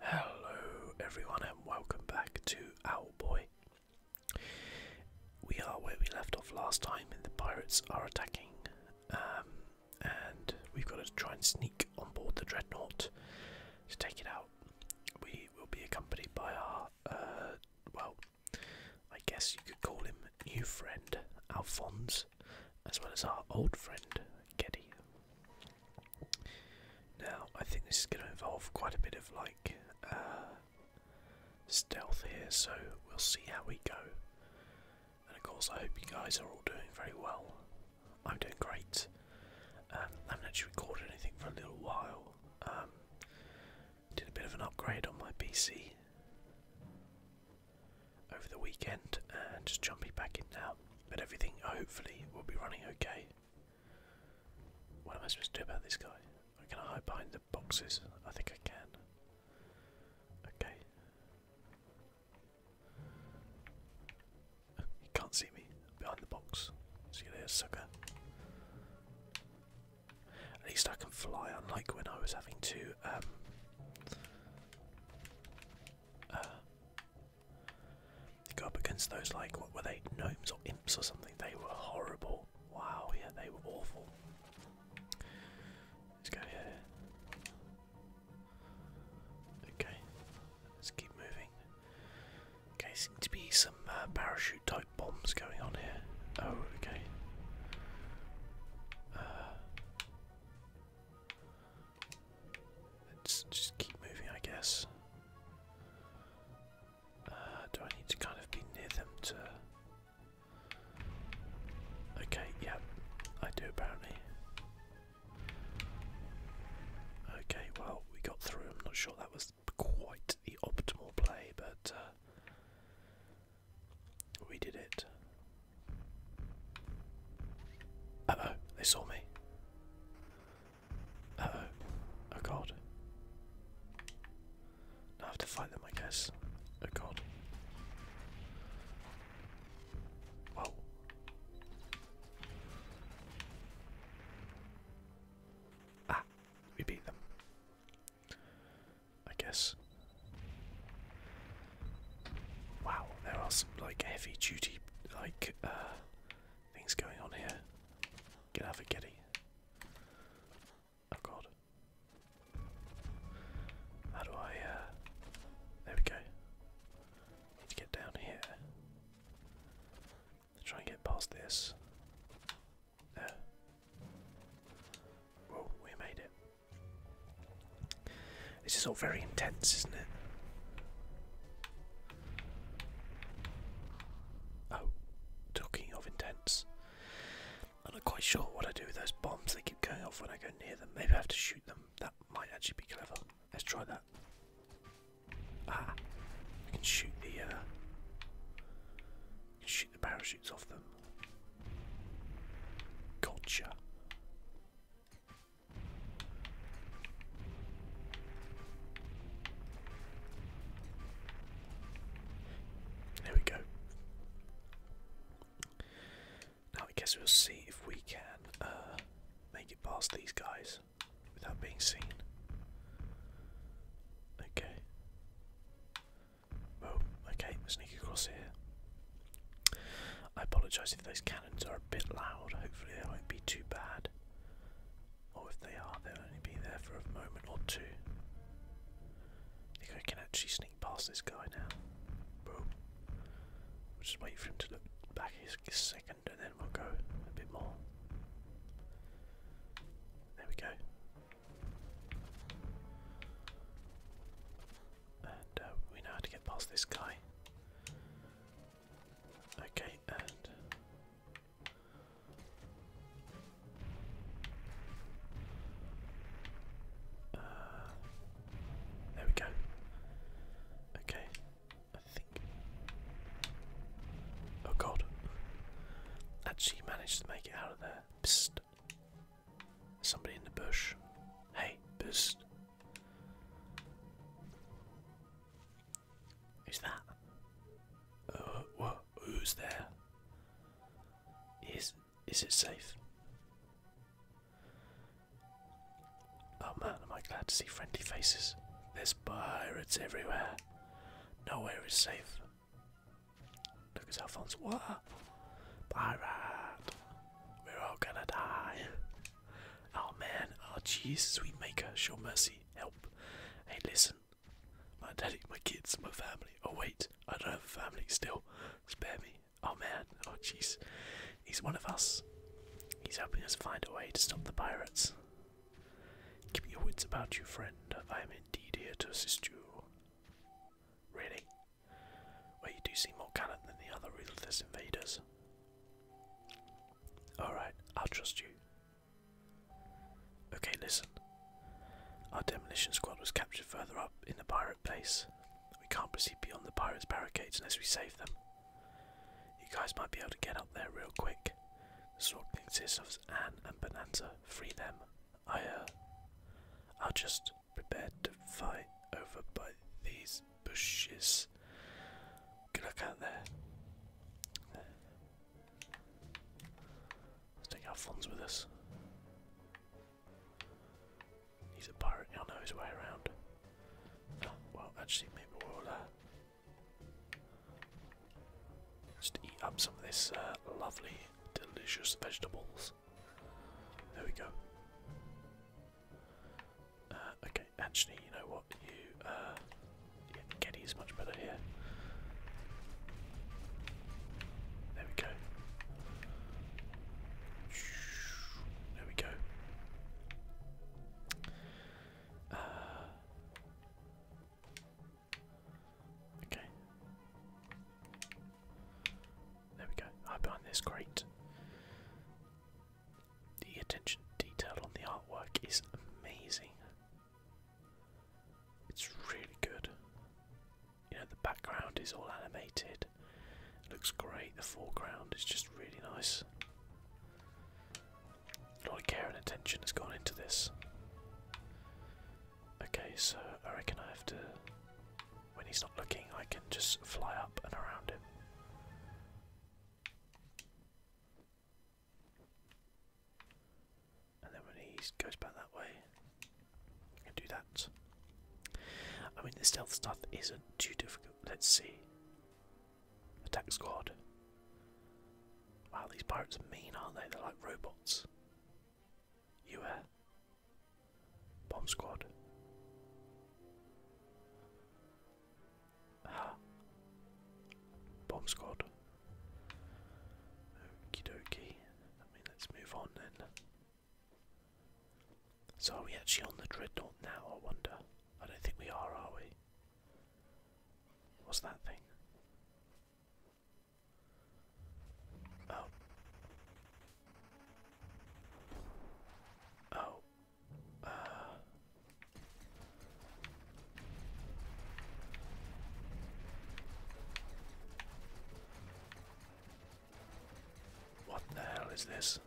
Hello, everyone, and welcome back to Owlboy. We are where we left off last time, and the pirates are attacking. Um, and we've got to try and sneak on board the dreadnought to take it out. We will be accompanied by our, uh, well, I guess you could call him new friend, Alphonse as well as our old friend Geddy. Now, I think this is going to involve quite a bit of like uh, stealth here, so we'll see how we go. And of course, I hope you guys are all doing very well. I'm doing great. Um, I haven't actually recorded anything for a little while. Um, did a bit of an upgrade on my PC over the weekend and just jumping back in now. But everything hopefully will be running okay. What am I supposed to do about this guy? Can I hide behind the boxes? I think I can. Okay. He can't see me behind the box. See you there, sucker. At least I can fly, unlike when I was having to um, uh, you go up against those like what were they gnomes or imps or something? They were horrible. Wow, yeah, they were awful. Let's go here. Okay, let's keep moving. Okay, seem to be some uh, parachute type bombs going on here. Oh, okay. Uh, Let's just keep moving, I guess. Uh, do I need to kind of be near them to. Okay, yeah, I do apparently. Okay, well, we got through. I'm not sure that was quite the optimal play, but uh, we did it. Uh-oh, they saw me. Uh-oh. Oh god. I have to find them, I guess. Oh god. Whoa. Ah, we beat them. I guess. Wow, there are some like heavy duty like uh, things going on here. Get out of it, Getty. Oh god. How do I uh, there we go. to get down here. Try and get past this. There. Whoa, we made it. This is all very intense, isn't it? Oh, talking of intense. I'm not quite sure what I do with those bombs. They keep going off when I go near them. Maybe I have to shoot them. That might actually be clever. Let's try that. Ah, I can shoot the. Uh, shoot the parachutes off them. Gotcha. There we go. Now I guess we'll see if we can uh, make it past these guys without being seen. Okay. Well, okay, sneak across here. I apologise if those cats cannons are a bit loud. Hopefully, they won't be too bad. Or if they are, they'll only be there for a moment or two. I think I can actually sneak past this guy now. just wait for him to look back a second and then we'll go a bit more. There we go. Uh, we know how to get past this guy. Okay, and. Uh, there we go. Okay, I think. Oh god. Actually managed to make it out of there. Somebody in the bush. Hey, boost. Who's that? Uh, Who's there? Is is it safe? Oh man, am I glad to see friendly faces. There's pirates everywhere. Nowhere is safe. Look at Alphonse. What? Pirate! We're all gonna die. Oh man, oh jeez, sweet maker, show mercy, help. Hey, listen. My daddy, my kids, my family. Oh wait, I don't have a family still. Spare me. Oh man, oh jeez. He's one of us. He's helping us find a way to stop the pirates. Keep your wits about you, friend. I am indeed here to assist you. Really? where you do see more cannon than the other ruthless invaders. Alright, I'll trust you. Okay, listen. Our demolition squad was captured further up in the pirate base. We can't proceed beyond the pirates' barricades unless we save them. You guys might be able to get up there real quick. The squad consists of Anne and Bonanza. Free them. I, uh. I'll just prepared to fight over by these bushes. Good luck out there. Let's take Alphonse with us. He's a pirate, he'll know his way around. Ah, well, actually, maybe we'll uh, just eat up some of this uh, lovely, delicious vegetables. There we go. Uh, okay, actually, you know what? You, uh, yeah, much better here. There we go. There we go. Uh, okay. There we go. I behind this great. The attention detail on the artwork is amazing. It's really good. You know, the background is all animated. looks great. The foreground is just really nice. A lot of care and attention has gone into this. Okay, so I reckon I have to when he's not looking, I can just fly up and around him. And then when he goes back that way, I can do that. I mean, the stealth stuff isn't too difficult. Let's see. Attack squad. Wow, these pirates are mean, aren't they? They're like robots. You air. Bomb squad. Ah. Bomb squad. Okie dokie. I mean, let's move on then. So are we actually on the dreadnought now, I wonder? I don't think we are, are we? What's that thing? Oh. Oh. Uh. What the hell is this?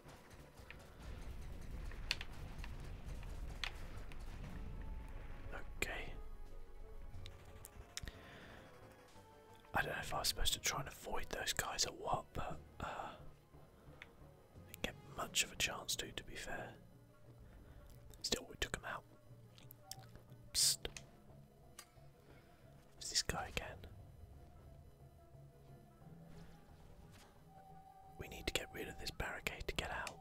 Okay. I don't know if I was supposed to try and avoid those guys or what, but uh, didn't get much of a chance to, to be fair. Still, we took them out. It's this guy again. We need to get rid of this barricade to get out.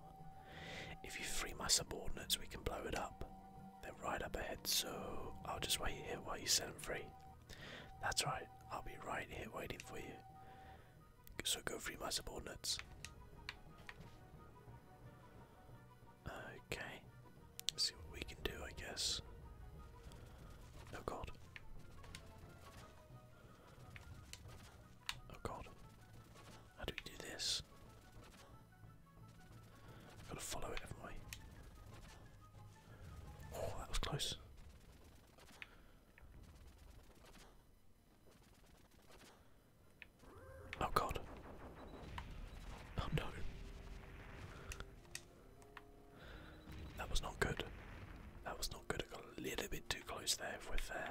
If you free my subordinates, we can blow it up. They're right up ahead, so I'll just wait here while you set them free. That's right, I'll be right here waiting for you. So go free my subordinates. Okay, see what we can do, I guess. Oh god. Oh god. How do we do this? I've got to follow it, haven't we? Oh, that was close. Oh god. Oh no. That was not good. That was not good. It got a little bit too close there if we're fair.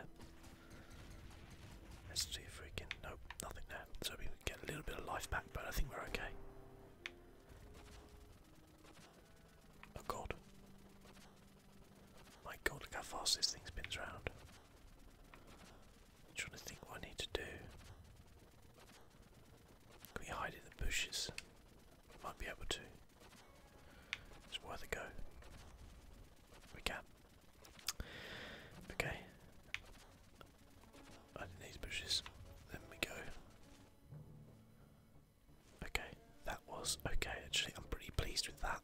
Let's see if we can. Nope, nothing there. So we can get a little bit of life back, but I think we're okay. Oh god. My god, look how fast this thing spins around. trying to think what I need to do. Can we hide in the bushes? Might be able to. It's worth a go. We can. Okay. Right in these bushes. Then we go. Okay, that was okay actually. I'm pretty pleased with that.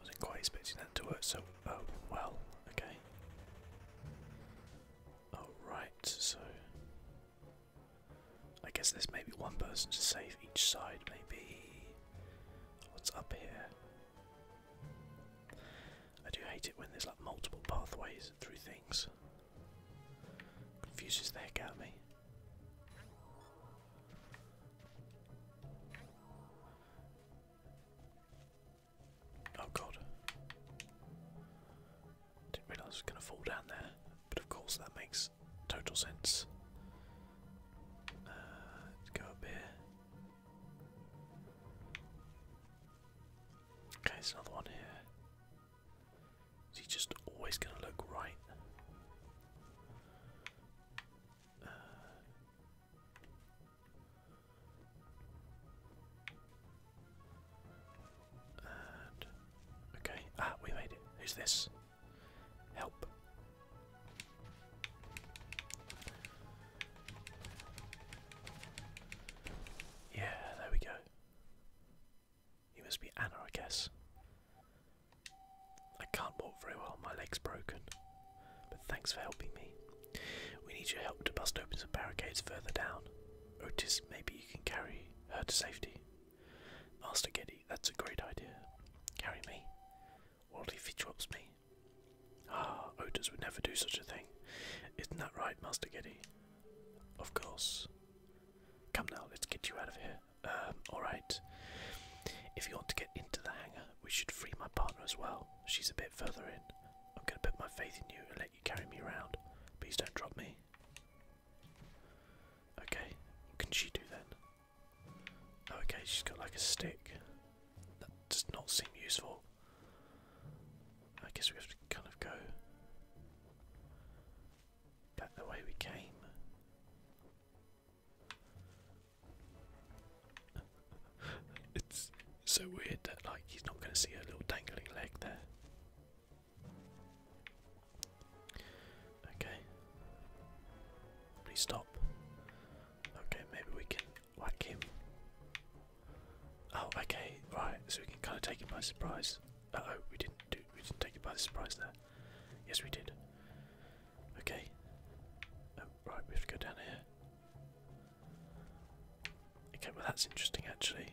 Wasn't quite expecting that to work so oh well, okay. Alright, so I guess there's maybe one person to save each side, maybe what's up here? I do hate it when there's like multiple pathways through things. Confuses the heck out of me. Oh god. Didn't realise I was going to fall down there, but of course that makes total sense. Uh, let's go up here. Okay, there's another one here. Is he just always going to look right? Uh, okay, ah, we made it. Who's this? Help. Yeah, there we go. You must be Anna, I guess. I can't walk very well, my leg's broken. But thanks for helping me. We need your help to bust open some barricades further down. Otis, maybe you can carry her to safety. Master Geddy, that's a great idea. Carry me. if he drops me. Ah, Otis would never do such a thing. Isn't that right, Master Giddy? Of course. Come now, let's get you out of here. Um, alright. If you want to get into the hangar, we should free my partner as well. She's a bit further in. I'm gonna put my faith in you and let you carry me around. Please don't drop me. Okay, what can she do then? Oh, okay, she's got like a stick. That does not seem useful. I guess we have to kind of go back the way we came. it's so weird that like he's not going to see a little dangling leg there. Okay. Please stop. Okay, maybe we can Whack him. Oh, okay, right. So we can kind of take him by surprise. oh, we didn't do. We didn't take him by the surprise there. Yes, we did. Okay. Oh, right, we have to go down here. Okay, well that's interesting actually.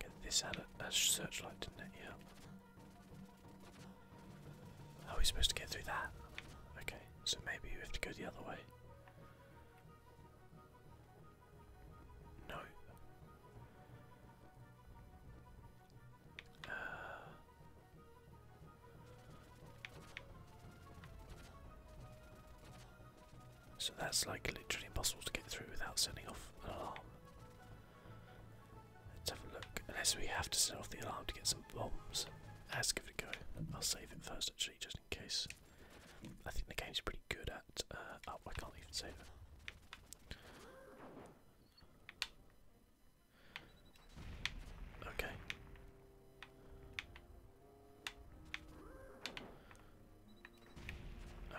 Get this out a, a uh, searchlight, didn't it? Yeah. How are we supposed to get through that? Okay, so maybe we have to go the other way. No. Uh. so that's like literally impossible to get through without setting off an alarm. Let's have a look. Unless we have to set off the alarm to get some bombs. let if it a go. I'll save it first actually, just in case. I think the game's pretty good at. Uh, oh, I can't even save it. Okay.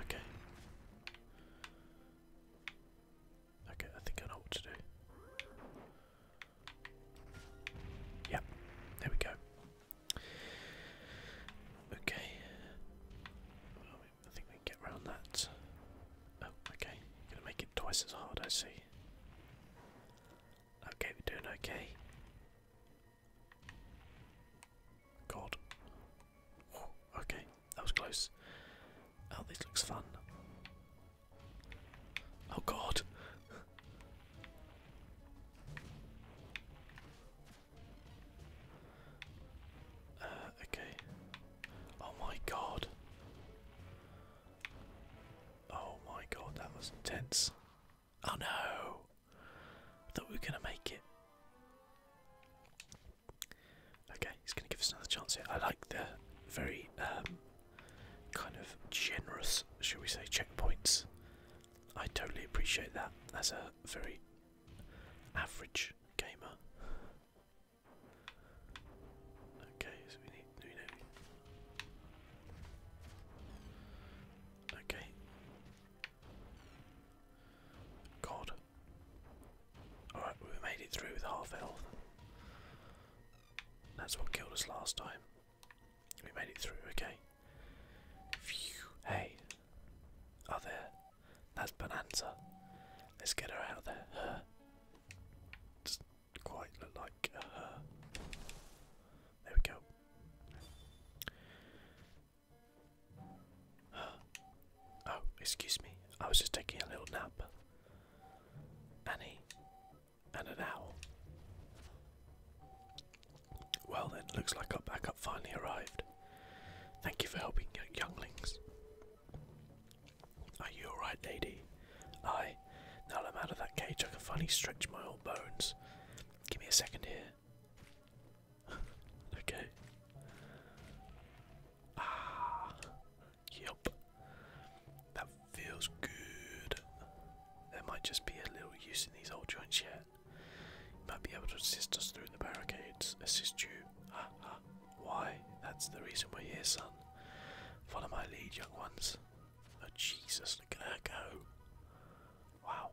Okay. Okay, I think I know what to do. Yep, there we go. Okay. I think we can get around that. Oh, okay. Gonna make it twice as hard, I see. Okay, we're doing okay. God. okay, that was close. Oh, this looks fun. Oh god. Uh, okay. Oh my god. Oh my god, that was intense. Oh no! I thought we were gonna make it. Okay, he's gonna give us another chance here. I like the very um, kind of generous, should we say, checkpoints. I totally appreciate that as a very average gamer. Okay, Okay. God. Alright, we made it through with half health. That's what killed us last time. We made it through, okay. hey. Oh, there. That's Bonanza. Let's get her out of there. Her. Doesn't quite look like her. There we go. Oh, excuse me. I was just taking a little nap. Annie, and an owl. Well then, looks like our backup finally arrived. Thank you for helping younglings. Are you alright, lady? I. Now that I'm out of that cage, I can finally stretch my old bones. Give me a second here. okay. Ah, Yup. That feels good. There might just be a little use in these old joints yet. You might be able to assist us through the barricades. Assist you. Ah, ah. Why? That's the reason we're here, son. Follow my lead, young ones. Oh, Jesus, look at her go. Wow.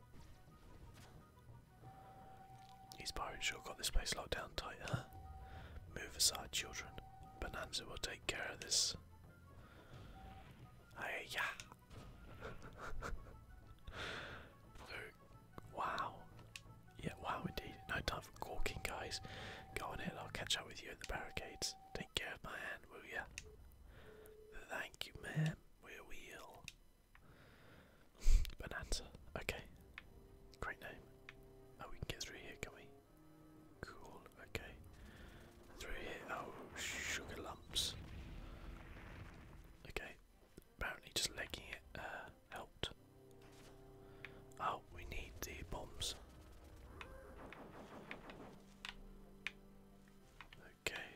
He's Byron sure got this place locked down tight, huh? Move aside, children. Bonanza will take take care of this. Hey, yeah. wow. Yeah, wow indeed. No time for gawking, guys. Go on in, I'll catch up with you at the barricades. Take care of my hand, will ya? Thank you, ma'am. We will. Bonanza. Okay. Great name. Oh, we can get through here, can we? Cool, okay. Through here, oh, sugar lumps. Okay, apparently just legging it uh, helped. Oh, we need the bombs. Okay.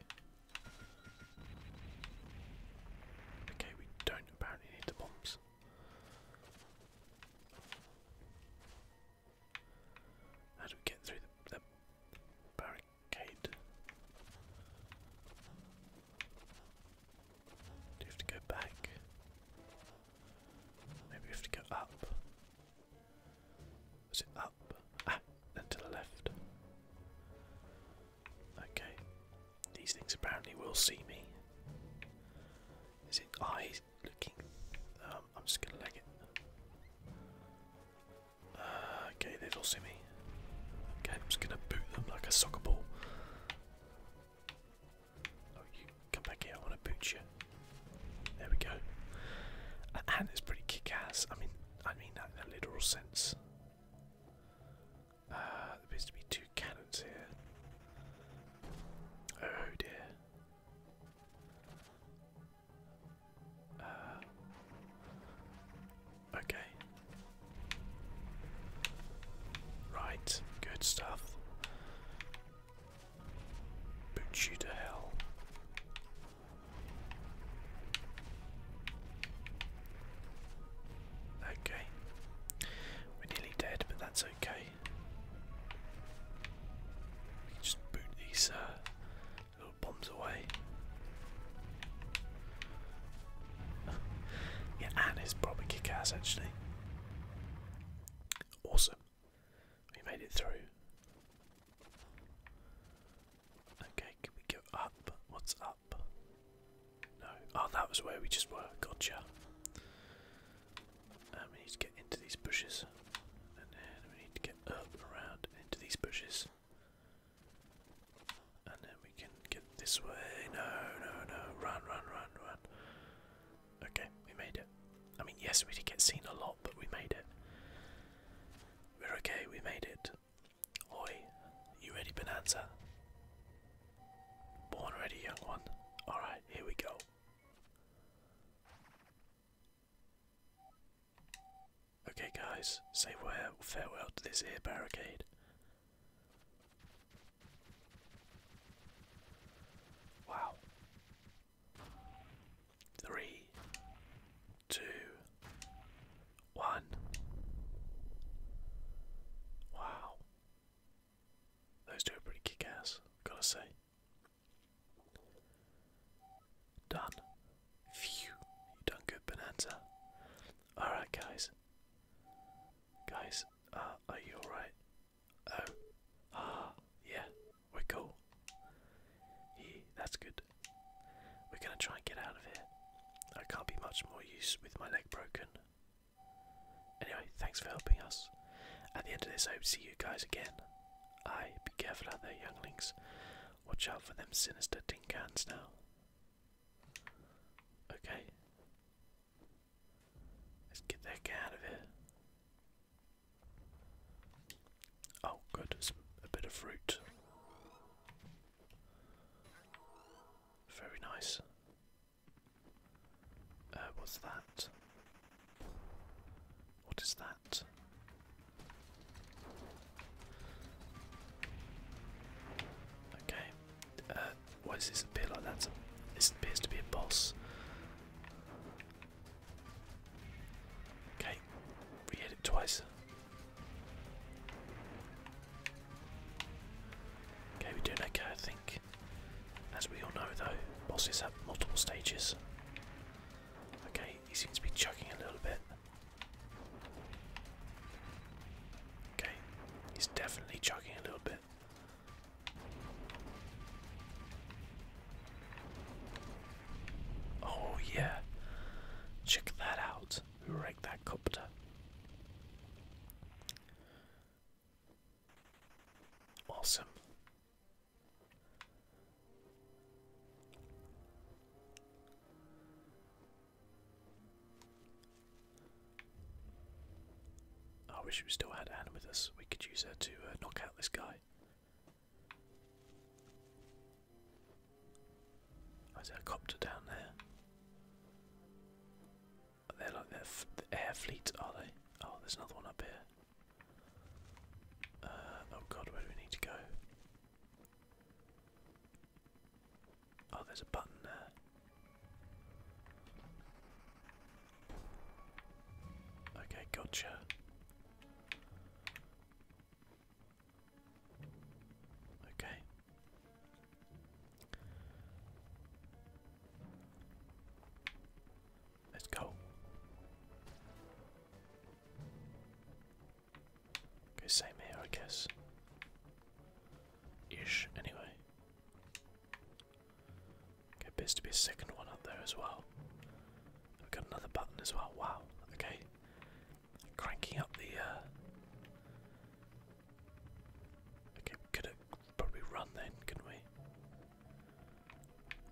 Okay, we don't apparently need the bombs. How do we get through the, barricade? Do we have to go back? Maybe we have to go up. Was it up? Ah, then to the left. Okay. These things apparently will see me. Is it I looking. Um, I'm just gonna leg it. Uh, okay, they do all see me. Okay, I'm just gonna boot them like a soccer ball. Oh, you come back here, I wanna boot you. There we go. And it's pretty kick-ass. I mean, I mean that in a literal sense. Uh, there appears to be two cannons here. Oh dear. Uh, okay. Right, good stuff. Boot you to hell. Okay. We're nearly dead, but that's okay just boot these uh, little bombs away. yeah, Anne is probably kick ass actually. Awesome. We made it through. Okay, can we go up? What's up? No. Oh, that was where we just were. Gotcha. Um, we need to get into these bushes, and then we need to get up around into these bushes, and then we can get this way. No, no, no! Run, run, run, run! Okay, we made it. I mean, yes, we did get seen a lot, but we made it. We're okay. We made it. Oi, you ready, Bonanza? Born ready, young one. Alright, here we go. Okay, guys, say farewell to this here barricade. Wow. Three, two, one. Wow. Those two are pretty kick ass, gotta say. Done. Phew, you done good, Bonanza. Alright, guys. Guys, uh, are you alright? Oh, ah, yeah, we're cool. Yeah, that's good. We're gonna try and get out of here. I can't be much more use with my leg broken, Anyway, thanks for helping us. At the end of this, I hope to see you guys again. Aye, be careful out there, younglings. Watch out for them sinister tin now. Okay. Let's get that guy out of here. Oh, good, a bit of fruit. Very nice. Uh, what's that? What is that? Okay. Uh, why does this appear like that? This appears to be a boss. Okay, we hit it twice. Okay, we're doing okay, I think. As we all know though, bosses have multiple stages. Okay, he seems to be chucking a little bit. Okay, he's definitely chucking a little bit. Oh yeah, check that out. Who wrecked that copter? Awesome. I wish we still had Anna with us. We could use her to uh, knock out this guy. Oh, is there a copter down there? They're like the air fleet, are they? Oh, there's another one up here. Uh, oh god, where do we need to go? Oh, there's a button there. Okay, gotcha. Okay. Let's go. Okay, same here, I guess. Ish, anyway. Okay, appears to be a second one up there as well. We've got another button as well. Wow. Okay. Cranking up the uh, Okay, could probably run then, couldn't we?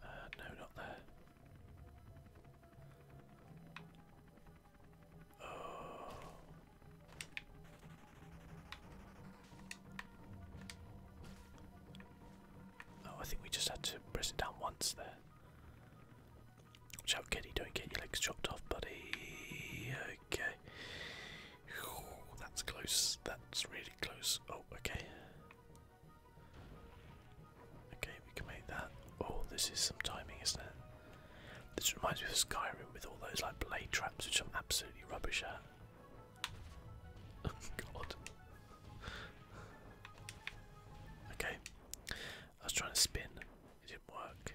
Uh, no, not there. Oh. Oh, I think we just had to press it down once there. Watch out, Kitty, don't get your legs chopped off, buddy. Okay that's close. That's really close. Oh, okay. Okay, we can make that. Oh, this is some timing, isn't it? This reminds me of Skyrim with all those like blade traps, which I'm absolutely rubbish at. Oh, god. Okay. I was trying to spin. It didn't work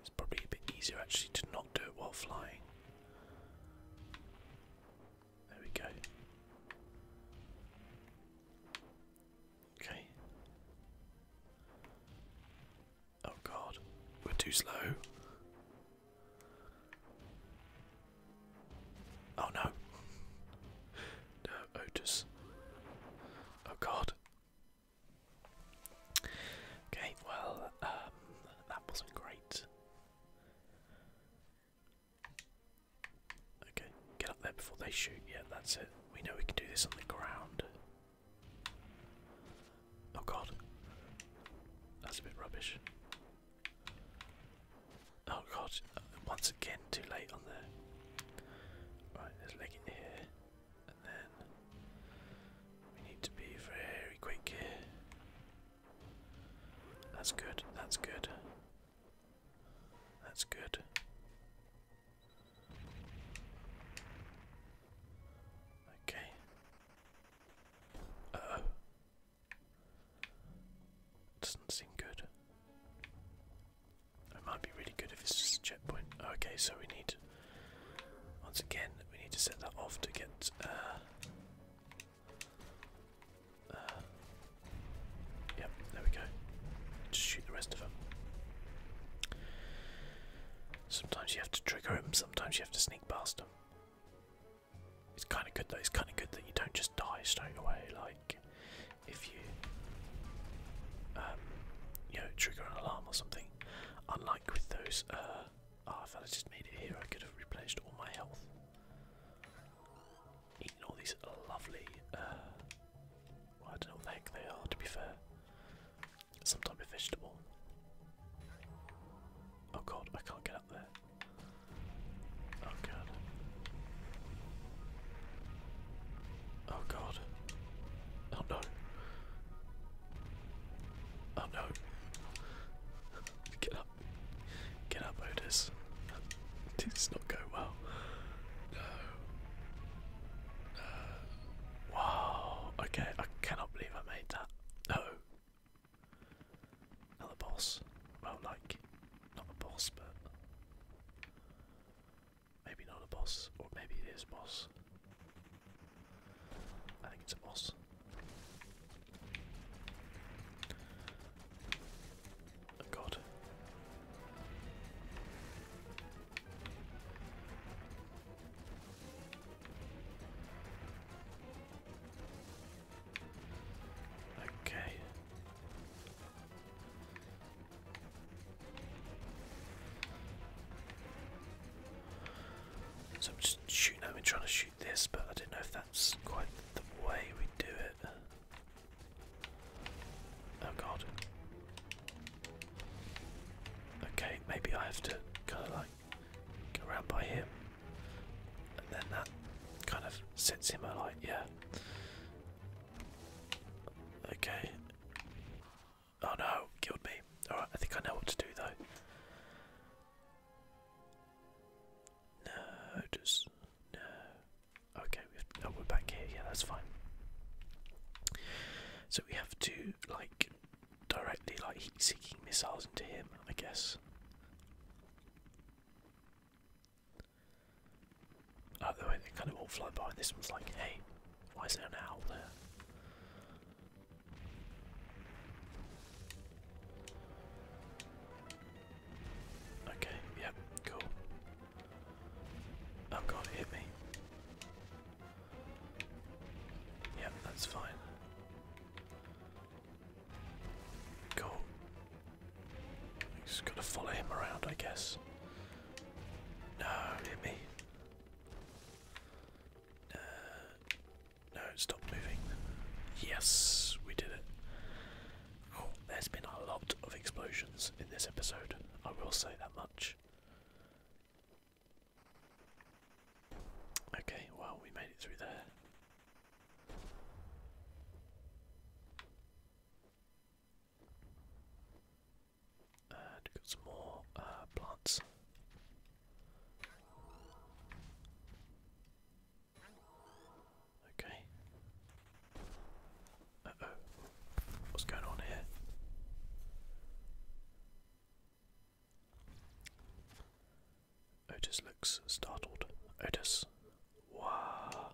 it's probably a bit easier actually to not do it while flying. There we go. Okay. Oh god, we're too slow. Oh no. no, Otis. Oh god. Okay, well, um, that wasn't great. Okay, get up there before they shoot. Yeah, that's it. We know we can do this on the ground. Oh god. That's a bit rubbish. Oh god, once again, too late on the Right, let's leg it here, and then we need to be very quick That's good, that's good. That's good. Okay. Uh oh. Doesn't seem good. It might be really good if it's a checkpoint. Okay, so we need, once again, we need to set that off to get. Uh, uh, yep, there we go. Just shoot the rest of them. Sometimes you have to trigger him, sometimes you have to sneak past him. It's kind of good though, it's kind of good that you don't just die straight away, like, if you um, you know trigger an alarm or something. Unlike with those, uh, oh, if I just made it here, I could have replenished all my health. Eating all these lovely, uh, I don't know what the heck they are. To be fair, some type of vegetable. Oh god, I can't get up there. Oh god. Oh god. Oh no. Oh no. Get up. Get up, Otis. This not go well. No. Wow. Okay, I cannot believe I made that. No. Not the boss. Well, like, not the boss, but Maybe not a boss, or maybe it is boss. I think it's a boss. god. Okay. So I'm just shooting. at him, trying to shoot this, but I don't know if that's quite the way we do it. Oh god. Okay, maybe I have to kind of like go around by him, and then that kind of sets him alight. Yeah. Okay. Oh no, killed me. Alright, I think I know what to do though. No, just. No. Okay, we have, oh, we're back here. Yeah, that's fine. So we have to, like, directly, like, heat seeking missiles into him, I guess. Oh, they kind of all fly by, this one's like, hey, why is there an owl there? Okay, yep, cool. Oh god, hit me. Yep, that's fine. Cool. Just gotta follow him around, I guess. No, hit me. Uh, no, stop moving. Yes, we did it. Oh, there's been a lot of explosions in this episode, I will say that much. Okay, well, we made it through there. And got some more uh, plants. Okay. Uh oh. What's going on here? Otis looks startled. Otis. Wow.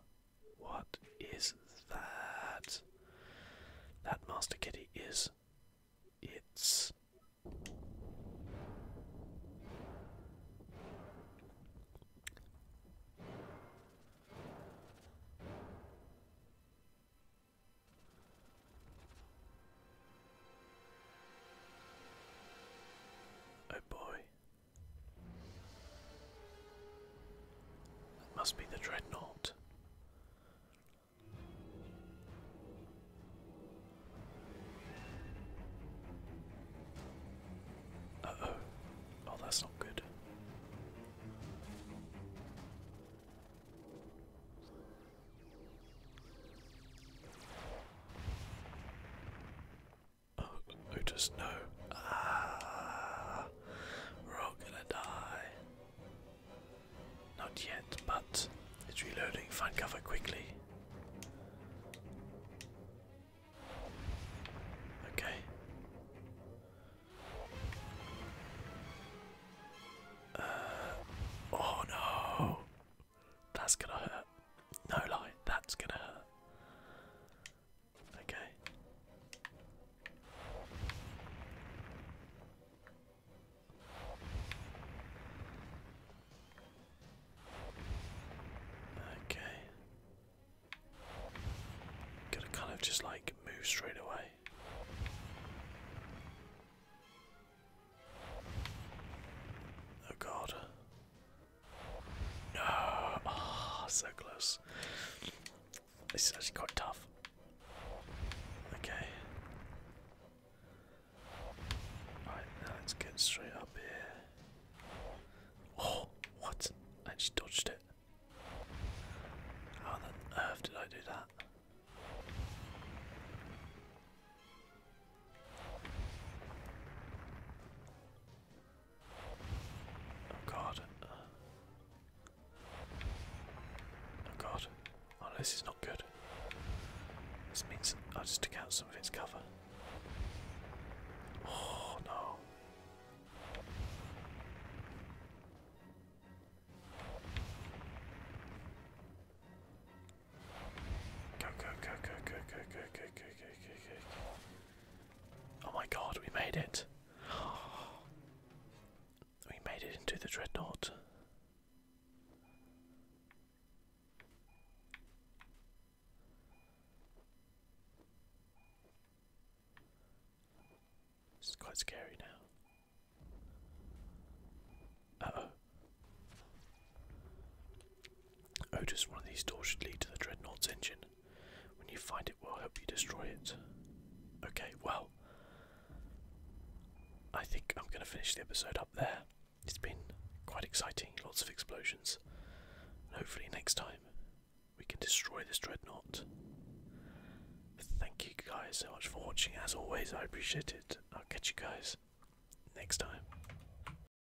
What is that? That Master Kitty is its Oh boy, it must be the dreadnought. Uh oh. Oh, that's not good. Oh, who know? Ah, we're all gonna die. Not yet, but it's reloading. Find cover quickly. Okay. Uh, oh no, that's gonna hurt. No lie, that's gonna hurt. Okay. Okay. Gotta kind of just like move straight away. Oh god. No! oh, so close. This is actually quite tough. Okay. Alright, now let's get straight up here. Oh, what? I just dodged it. How on earth did I do that? Oh god. Oh god. Oh this is not good. This means I just took out some of its cover. Oh no. go, go, go, go, go, go, go, go, go, go, go. Oh my god, we made it. We made it into the dreadnought. It's quite scary now. Uh oh. Otis, oh, one of these doors should lead to the Dreadnought's engine. When you find it, we'll help you destroy it. Okay, well, I think I'm going to finish the episode up there. It's been quite exciting, lots of explosions. And hopefully, next time we can destroy this Dreadnought. Thank you guys so much for watching. As always, I appreciate it. I'll catch you guys next time.